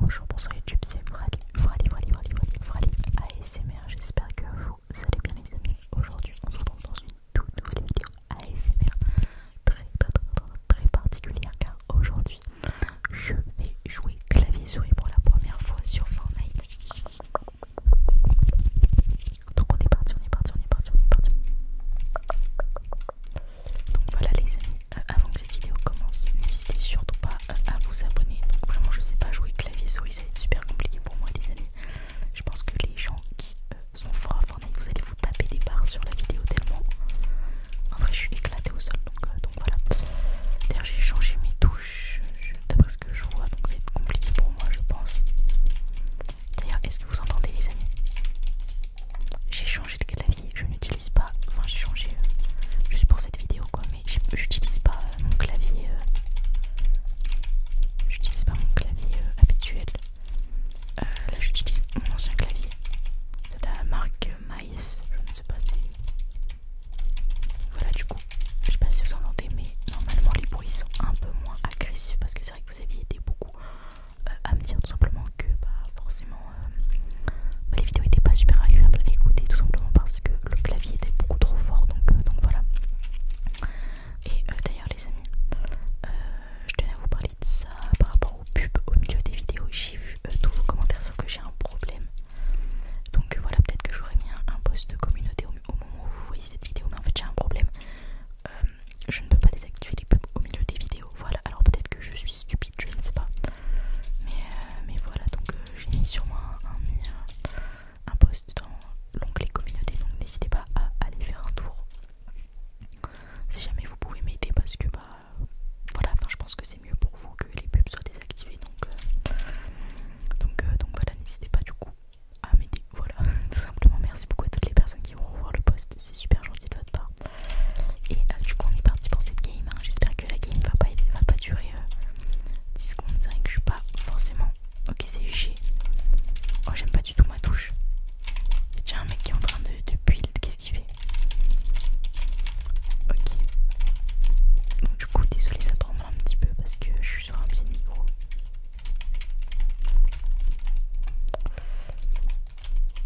Bonjour, bonsoir YouTube, c'est Frali, Frali, Frali, Frali, Frali, Frali ASMR. J'espère que vous allez bien, les amis. Aujourd'hui, on se retrouve dans une toute nouvelle vidéo ASMR très, très, très, très particulière car aujourd'hui, je vais jouer clavier souris pour la première fois sur Fortnite. Donc, on est parti, on est parti, on est parti, on est parti. Donc voilà les amis, euh, avant que cette vidéo commence, n'hésitez surtout pas euh, à vous abonner. vraiment je sais pas jouer clavier souris, ça va être super compliqué pour moi les amis. Je pense que les gens qui euh, sont forts à Fortnite, vous allez vous taper des barres sur la vidéo tellement. En vrai je suis éclatée au sol donc, donc voilà. D'ailleurs j'ai changé mes touches d'après ce que je vois donc c'est compliqué pour moi je pense. D'ailleurs est-ce que vous entendez les amis j'ai changé de clavier, je n'utilise pas, enfin j'ai changé euh, juste pour cette vidéo quoi, mais euh, euh, j'utilise pas mon clavier, j'utilise pas mon clavier habituel, là j'utilise mon ancien clavier de la marque Maïs, je ne sais pas si, voilà du coup, je sais pas si vous entendez mais normalement les bruits sont un peu moins agressifs parce que c'est vrai que vous aviez été beaucoup à me dire tout simplement que bah forcément les vidéos n'étaient pas super agréables à écouter tout simplement parce que le clavier était beaucoup trop fort donc, euh, donc voilà et euh, d'ailleurs les amis euh, je tenais à vous parler de ça par rapport aux pubs au milieu des vidéos j'ai vu tous vos commentaires sauf que j'ai un problème donc voilà peut-être que j'aurais mis un, post de communauté au, moment où vous voyez cette vidéo mais en fait j'ai un problème je ne peux pas désactiver les pubs au milieu des vidéos voilà alors peut-être que je suis stupide je ne sais pas mais, euh, mais voilà, donc euh, j'ai mis sûrement un, un, mis, post dans l'onglet communauté, donc n'hésitez pas à aller faire un tour. Si jamais vous pouvez m'aider parce que bah voilà, enfin je pense que c'est mieux pour vous que les pubs soient désactivées donc euh, donc, donc voilà, n'hésitez pas du coup à m'aider. Voilà, tout simplement merci beaucoup à toutes les personnes qui vont revoir le post c'est super gentil de votre part. Et euh, du coup on est parti pour cette game, hein. j'espère que la game va pas, va pas durer 10 euh, secondes, c'est vrai que je suis pas forcément... Ok c'est G. Oh j'aime pas du tout ma touche. tiens un mec qui est en train de, de build, qu'est-ce qu'il fait Ok. Donc du coup désolé ça tremble un petit peu parce que je suis sur un pied de micro.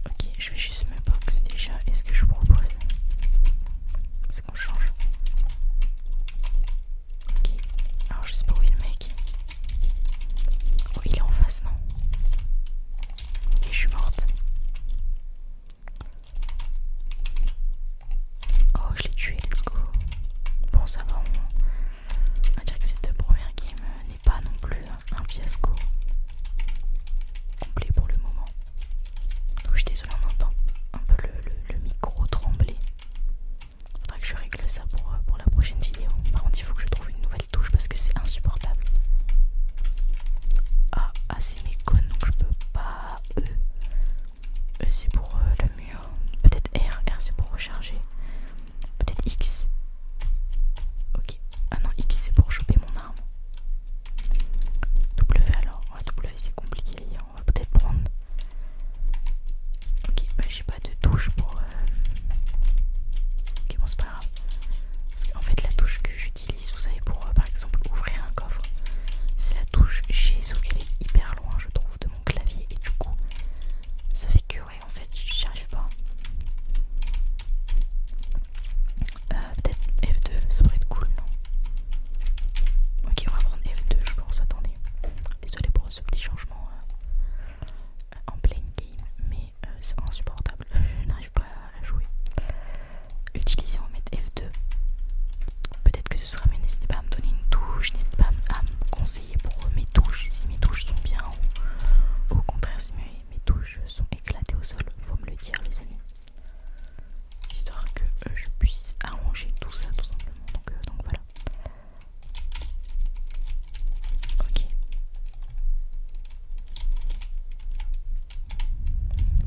Ok, je vais juste me box déjà. Est-ce que je vous propose c'est qu'on change Ok, alors je sais pas où est le mec. Oh, il est en face, non Ok, je suis morte. Oh, je l'ai tué, let's go. Bon, ça va, moins. on va dire que cette première game n'est pas non plus un fiasco complet pour le moment. Donc je suis désolée, on entend un peu le, micro trembler. Faudra que je règle ça euh, pour, la prochaine vidéo. Par contre, il faut que je trouve une nouvelle touche parce que c'est insupportable. Ah, ah c'est mes cônes donc je peux pas. E, c'est pour le mur. Peut-être R, R c'est pour recharger. Peut-être X, Ok. Ah non, X c'est pour choper mon arme. W alors. Ouais, w c'est compliqué. On va peut-être prendre. Ok, bah j'ai pas de touche pour. Euh, ok, bon, c'est pas grave. en fait, la touche que j'utilise, vous savez, pour euh, par exemple ouvrir un coffre, c'est la touche G, sauf qu'elle est hyper loin, je trouve, de mon clavier. Et du coup, ça fait que, ouais, en fait, j'y arrive pas. Euh, peut-être F2, ça pourrait être cool, non Ok, on va prendre F2, je pense. Attendez. Désolé pour ce petit changement euh, en playing game, mais euh, c'est insupportable. Je n'arrive pas à jouer. Utiliser, on va mettre F2. Peut-être que ce sera mieux. N'hésitez pas à me donner une touche, n'hésitez pas à me conseiller pour mes touches, si mes touches sont bien ou au contraire si mes touches sont éclatés au sol, faut me le dire les amis. Histoire que euh, je puisse arranger tout ça tout simplement. Donc, euh, donc voilà. Ok.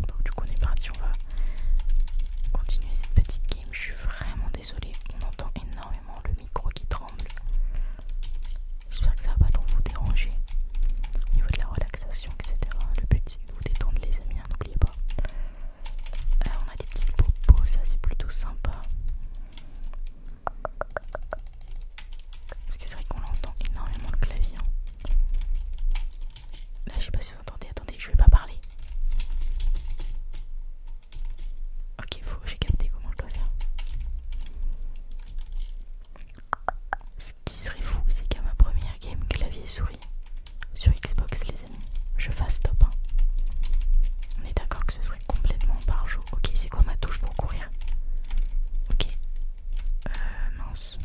Donc du coup on est parti, on va continuer cette petite game. Je suis vraiment désolée, on entend énormément le micro qui tremble. J'espère que ça va pas trop vous déranger au niveau de la relaxation, etc. Le but c'est de vous détendre, les amis, hein, n'oubliez pas. Euh, on a des petits popos, ça c'est plutôt sympa. Parce que c'est vrai qu'on l'entend énormément le clavier. Hein. Là, je sais pas si vous entendez. Attendez, je vais pas parler. Ok, j'ai capté comment je dois faire. Ce qui serait fou, c'est qu'à ma première game clavier-souris sur Xbox, les amis, je fasse top 1. On est d'accord que ce serait complètement par jour. Ok, c'est quoi ma touche pour courir Ok. Euh, mince.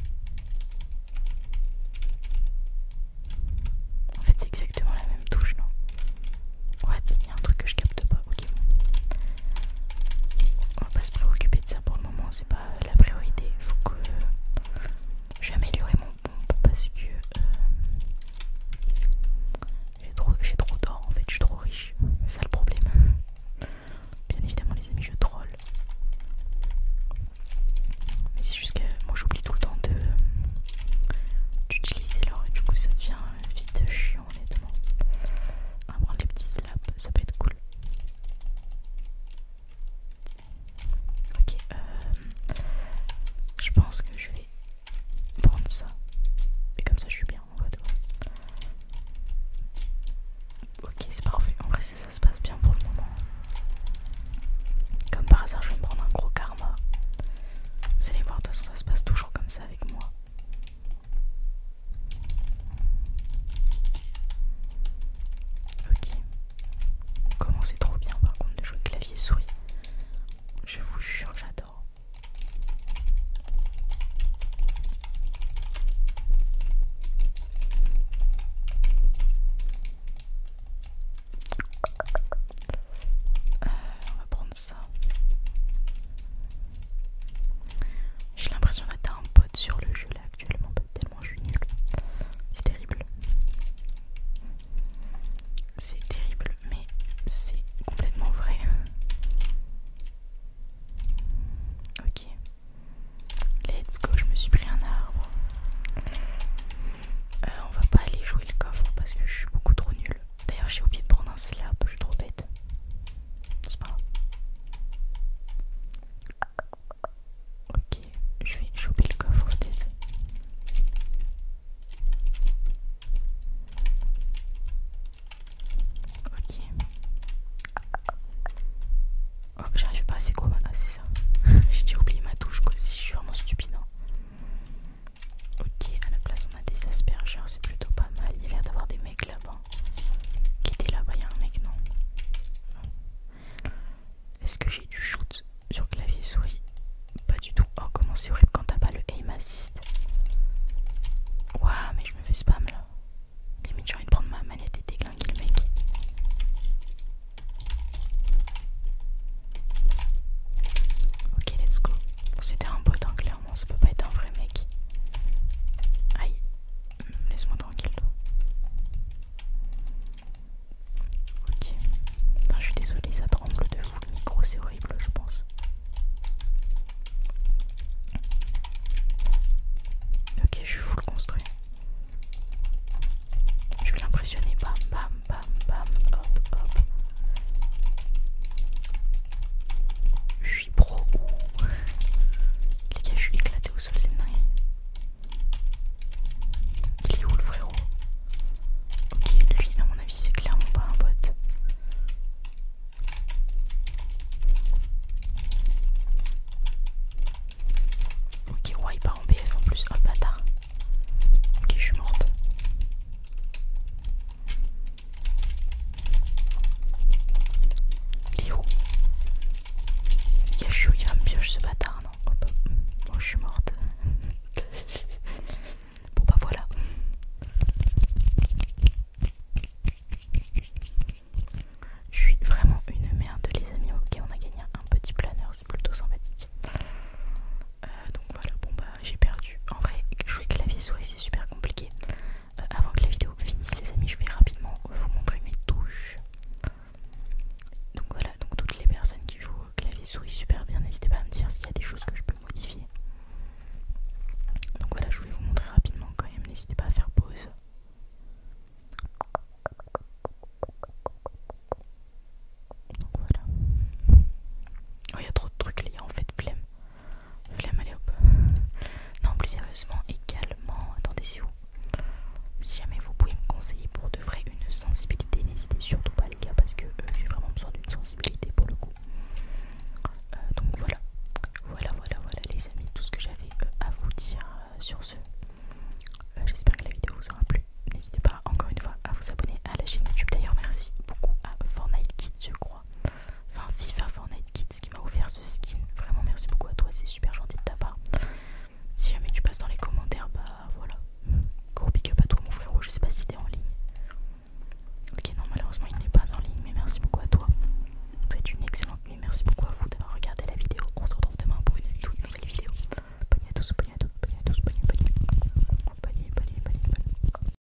En fait, c'est exactement la même touche, non Ouais, Il y a un truc que je capte pas. On va pas se préoccuper de ça pour le moment, c'est pas la priorité. Faut que j'améliore mon pompe parce que euh, j'ai trop, trop d'or en fait, je suis trop riche. C'est ça le problème. Bien évidemment, les amis, je troll. Mais c'est juste que moi j'oublie tout le temps de d'utiliser l'or et du coup ça devient vite chiant honnêtement. On va prendre les petits slaps ça peut être cool. Ok, euh, je pense que je vais prendre ça. Et comme ça, je suis bien en voir. Ok, c'est parfait. En vrai, ça, ça se passe bien pour le moment. Comme par hasard, je vais me prendre un gros karma. Vous allez voir, de toute façon, ça se passe toujours comme ça avec moi. Ok. Comment c'est trop bien par contre de jouer clavier souris. Je vous jure, j'adore. Euh, j'ai l'impression d'être un pote sur le jeu là actuellement, tellement je suis nulle. C'est terrible. C'est terrible, mais c'est complètement vrai. Ok. Let's go, je me suis pris un arbre. Euh, on va pas aller jouer le coffre parce que je suis beaucoup trop nulle. D'ailleurs, j'ai oublié de prendre un slab, je suis trop bête. C'est pas grave. Ok, je vais choper le coffre peut-être. Ok. Oh, j'arrive pas, c'est quoi ma... Ah, c'est ça. J'ai déjà oublié ma touche quoi, si je suis vraiment stupide. Hein. Ok, à la place on a des aspergeurs, c'est plutôt pas mal. Il y a l'air d'avoir des mecs là-bas. Qui était là-bas, il un mec, non, Est-ce que j'ai du shoot sur clavier souris Pas du tout. Oh, comment c'est horrible quand t'as pas le aim assist. Waouh, mais je me fais spam là. Limite, j'ai envie de prendre ma manette et déglinguer le mec. Ok, let's go. C'était un bot, en hein, clair ça peut pas être un vrai mec. Aïe, laisse-moi tranquille. Ok. Non, je suis désolée, ça tremble de fou le micro, c'est horrible, je pense. Ok, je suis full construit. Je vais l'impressionner. Bam, bam, bam, bam, hop, hop. Je je suis pro ou. Les gars, je suis éclaté au sol, c'est dingue. Il est où le frérot Ok, lui, à mon avis, c'est clairement pas un bot. Ok, ouais, il part en BF en plus. Oh le bâtard. Ok, je suis morte. Il est où Yachou, il va me piocher ce bâtard, non oh, Bon, bah, je suis morte. bon, bah voilà. Je suis vraiment une merde, les amis. Ok, on a gagné un petit planeur, c'est plutôt sympathique. Euh, donc voilà, bon bah j'ai perdu. En vrai, jouer clavier souris c'est super compliqué. Euh, avant que la vidéo finisse les amis je vais rapidement vous montrer mes touches. Donc voilà, donc toutes les personnes qui jouent au clavier souris super bien, n'hésitez pas à me dire s'il y a des choses que je peux modifier. Donc voilà, je vais vous montrer rapidement quand même, n'hésitez pas à faire pause. Donc voilà. Oh, il y a trop de trucs là, en fait, flemme. Flamme hop. Non, plus sérieusement également, Attendez, c'est où Si jamais vous pouvez me conseiller pour de vrai une sensibilité, n'hésitez surtout pas les gars parce que euh, j'ai vraiment besoin d'une sensibilité pour le coup. Euh, donc voilà, voilà, voilà, voilà les amis, tout ce que j'avais euh, à vous dire sur ce. J'espère que la vidéo vous aura plu. N'hésitez pas encore une fois à vous abonner à la chaîne YouTube. D'ailleurs, merci beaucoup à Fortnite qui je crois. Enfin, FIFA Fortnite Kids qui m'a offert ce skin. Vraiment, merci beaucoup à toi, c'est super gentil de ta part. Si jamais tu passes dans les commentaires, bah voilà. Gros big up à toi, mon frérot. Je sais pas si t'es en ligne. Ok, non, malheureusement, il n'est pas en ligne, mais merci beaucoup à toi. être une excellente nuit. Merci beaucoup à vous d'avoir regardé la vidéo. On se retrouve demain pour une toute nouvelle vidéo. Bonne nuit à tous, bonne nuit à tous, bonne nuit à tous, bonne nuit, bonne nuit.